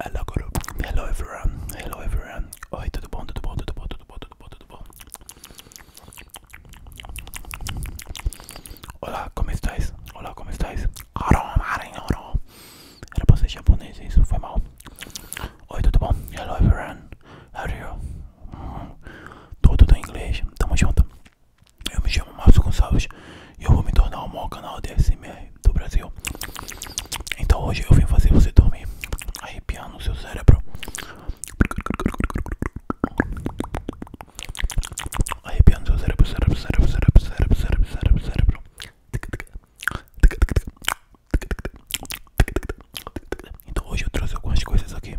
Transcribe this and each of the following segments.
Hello, everyone. Hello everyone. Oi, tudo bom? Tudo bom? Tudo bom? Tudo bom? Tudo bom? Tudo bom? Olá, como estáis? Olá, como estáis? Era pra ser japonês isso, foi mal. Oi, tudo bom? Hello everyone. How are you? Tudo em inglês. Tamo junto. Eu me chamo Márcio Gonçalves e eu vou me tornar o maior canal de SMR do Brasil. Então hoje eu vim fazer você dormir, arrepiando no seu cérebro, no seu cérebro, cérebro, cérebro, cérebro, cérebro, cérebro, cérebro, cérebro. Então hoje eu trouxe algumas coisas aqui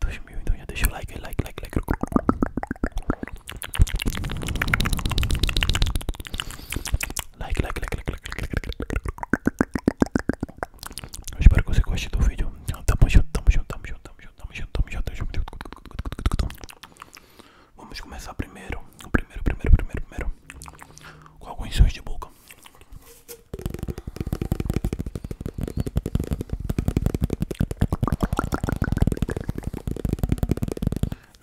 2 mil, então já deixa o like, like, like, like. Like, like, like, like, like, like, like. Eu espero que você goste do vídeo. Então, tamo junto, tamo junto, tamo junto, tamo junto, tamo junto, tamo junto, tamo junto. Vamos começar primeiro, primeiro, primeiro, primeiro, primeiro, com alguns sons de boca.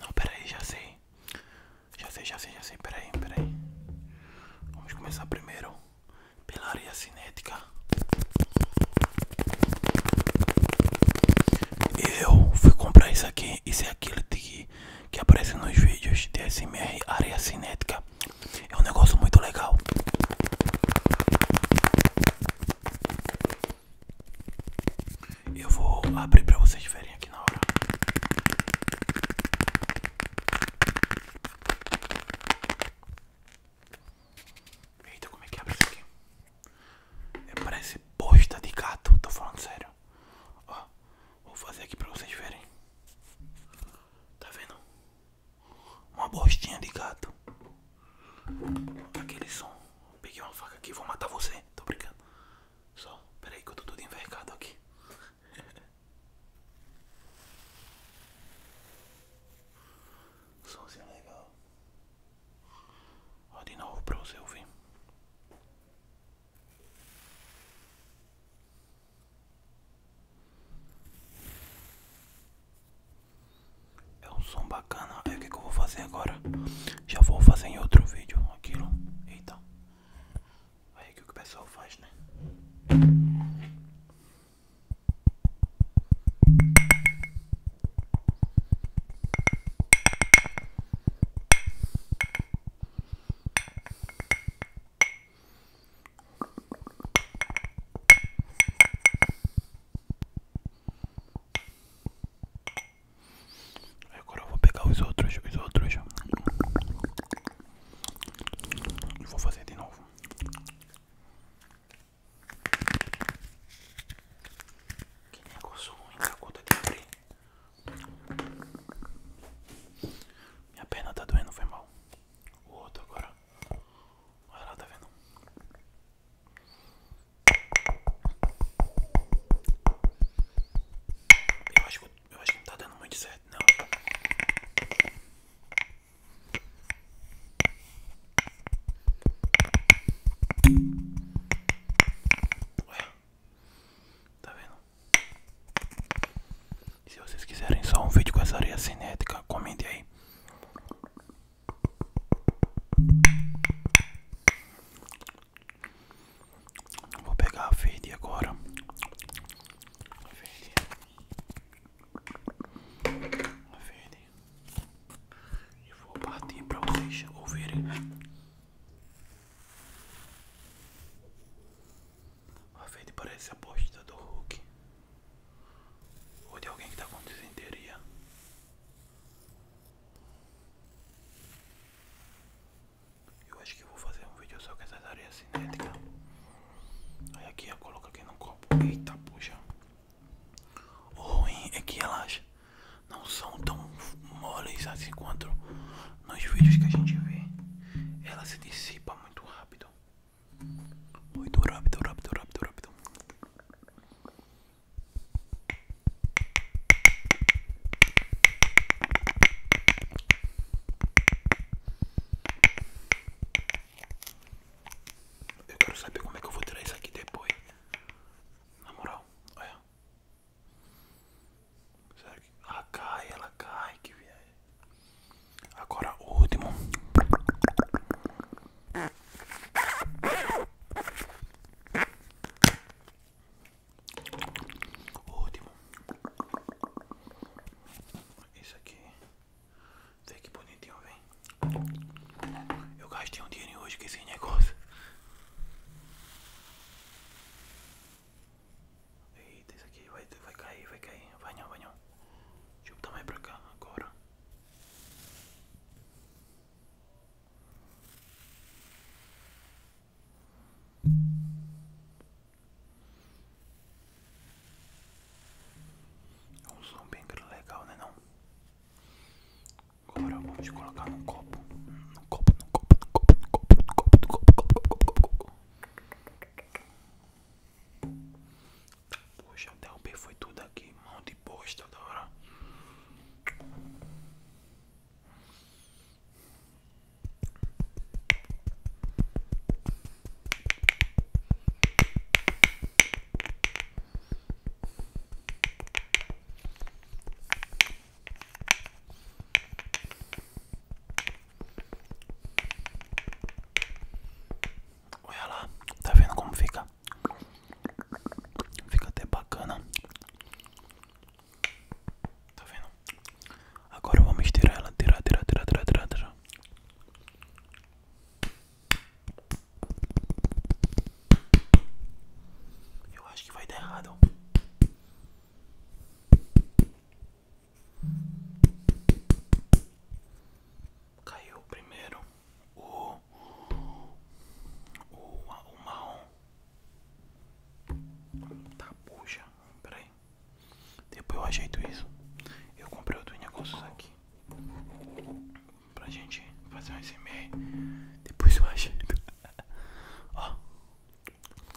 Não, peraí, já sei. Já sei, já sei, já sei. Peraí, peraí. Vamos começar primeiro pela área cinética. Eu fui comprar isso aqui. Isso é aquilo que, que aparece nos vídeos de SMR área cinética. É um negócio muito legal. Eu vou abrir pra vocês verem aqui na hora. Eita, como é que abre isso aqui? É, parece bosta de gato, tô falando sério. Ó, vou fazer aqui pra vocês verem. Tá vendo? Uma bostinha de gato. Aquele som. Peguei uma faca aqui, vou matar você. Tô brincando. Só, peraí que eu tô tudo envergado aqui. Somzinho legal. Ó, de novo pra você ouvir. É um som bacana. Aí o que, eu vou fazer agora? Já vou fazer em outro vídeo aquilo. Eita. Aí que o pessoal faz, né? Agora eu vou pegar os outros, os outros. E vou fazer de novo. Que negócio ruim da de abrir. Minha perna tá doendo, foi mal. O outro agora. Olha tá vendo? Eu acho, que eu acho que não tá dando muito certo, não. Ué, tá vendo? Se vocês quiserem só um vídeo com essa areia cinética, comentem aí. Vou pegar a verde agora. A verde. A verde. E vou partir para vocês ouvirem. A verde parece a bosta do Hulk. Ou de alguém que tá com desenteria. Eu acho que vou fazer um vídeo só com essas areias cinéticas. Aí aqui eu coloco aqui no copo. Eita, puxa. O ruim é que elas não são tão moles assim quanto nos vídeos que a gente vê. Ela se dissipa muito rápido. Muito rápido, rápido, rápido, rápido. Eu quero saber como é que eu vou tirar isso aqui depois. Na moral, olha. Ela cai, ela cai, que viagem. Agora o último. O último. Isso aqui. Vê que bonitinho, vem. Eu gastei um dinheiro hoje com esse negócio. Eita, isso aqui vai, vai cair, vai cair. Vai não, vai não. Deixa eu botar mais pra cá agora. É um som bem legal, né não? Agora vamos colocar num copo. Num copo, num copo, num copo, num copo, num copo, num copo, num copo, num copo, num copo. Poxa, até o foi tudo aqui, mão de bosta da hora. Olha lá, tá vendo como fica? Fica até bacana. Tá vendo? Agora vamos tirar ela, tirar, tirar, tirar, tirar, tirar, tirar. Eu acho que vai dar errado. Caiu primeiro o, o, o Tá, puxa, peraí. Depois eu ajeito isso. Eu comprei outros negócios aqui. Pra gente fazer um SMR. Depois eu ajeito.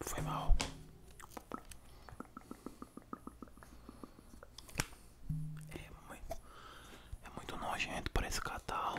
Foi mal. É muito, é nojento para esse catarro.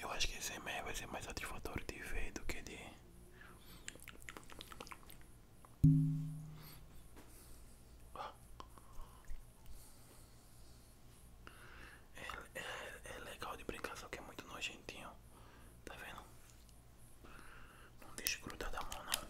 Eu acho que esse remédio vai ser mais satisfatório de ver do que de. É, é, é legal de brincar, só que é muito nojentinho. Tá vendo? Não deixa grudar da mão não.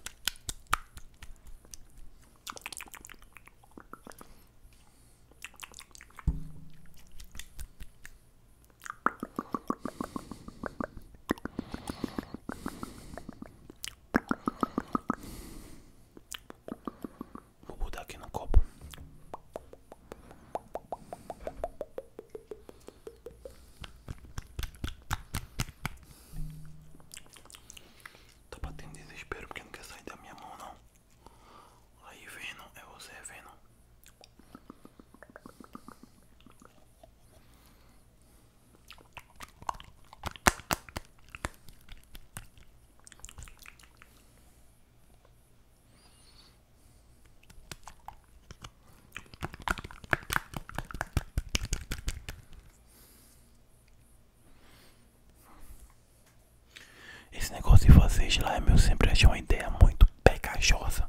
Vou botar aqui no copo. Tá batendo desespero porque não quer sair da minha mão não. Aí vendo é você é vendo. Esse negócio de fazer slime é meu sempre achei uma ideia muito pegajosa.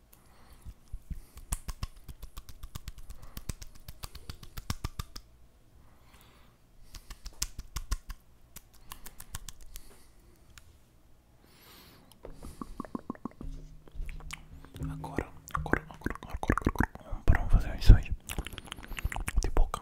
Agora, agora, agora, agora, agora, para vamos fazer isso aí de boca.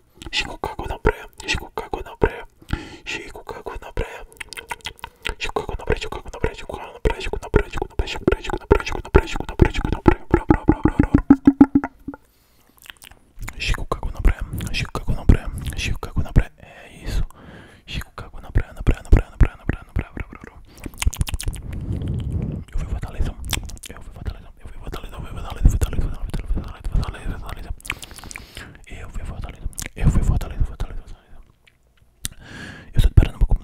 praia, Chico cagou na praia, Chico cagou na praia, Chico cagou na praia, Chico cagou na praia, Chico cagou na praia, Chico cagou na praia, Chico na praia, Chico na praia, Chico na praia, Chico na praia, Chico na praia, Chico na praia, Chico na praia, Chico cagou na praia, Chico cagou na praia, Chico cagou na praia, é isso, Chico cagou na praia, na praia, na praia, na praia, na praia, na praia, eu fui Fortaleza, eu fui Fortaleza, eu fui Fortaleza, eu fui Fortaleza, Fortaleza, Fortaleza, Fortaleza, Fortaleza, Fortaleza, eu fui Fortaleza. Eu fui Fortaleza, Fortaleza, Fortaleza. Eu sou de Pernambuco.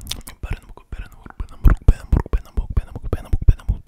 Pernambuco, Pernambuco, Pernambuco, Pernambuco, Pernambuco, Pernambuco, Pernambuco, Pernambuco, Pernambuco.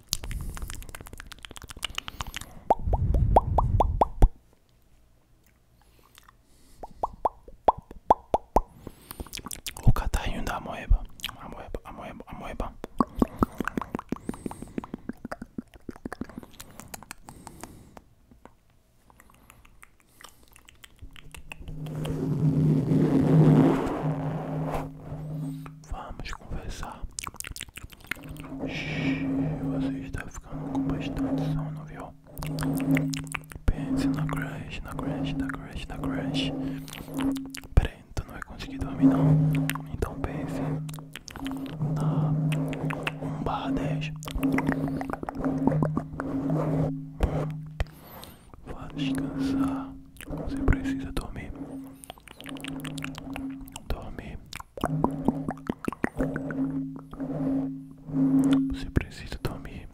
O catarrinho da amoeba, amoeba, amoeba, amoeba. Vamos conversar. Você está ficando com bastante sono, viu? Pense na crash, na crash, na crash, na crash. Peraí, tu não vai conseguir dormir não. Então pense na 1 10. Vá descansar. Você precisa dormir. Dorme. Você precisa dormir.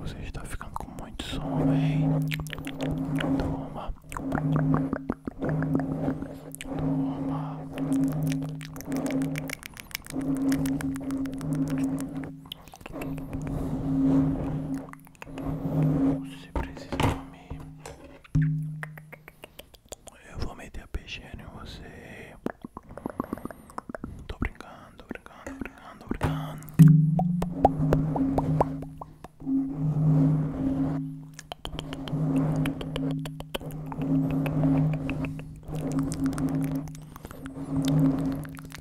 Você está ficando com muito sono, hein? Toma. Toma. Você precisa dormir. Eu vou meter a peixeira em você. Tô brincando, brincando, brincando, brincando.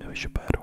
eu espero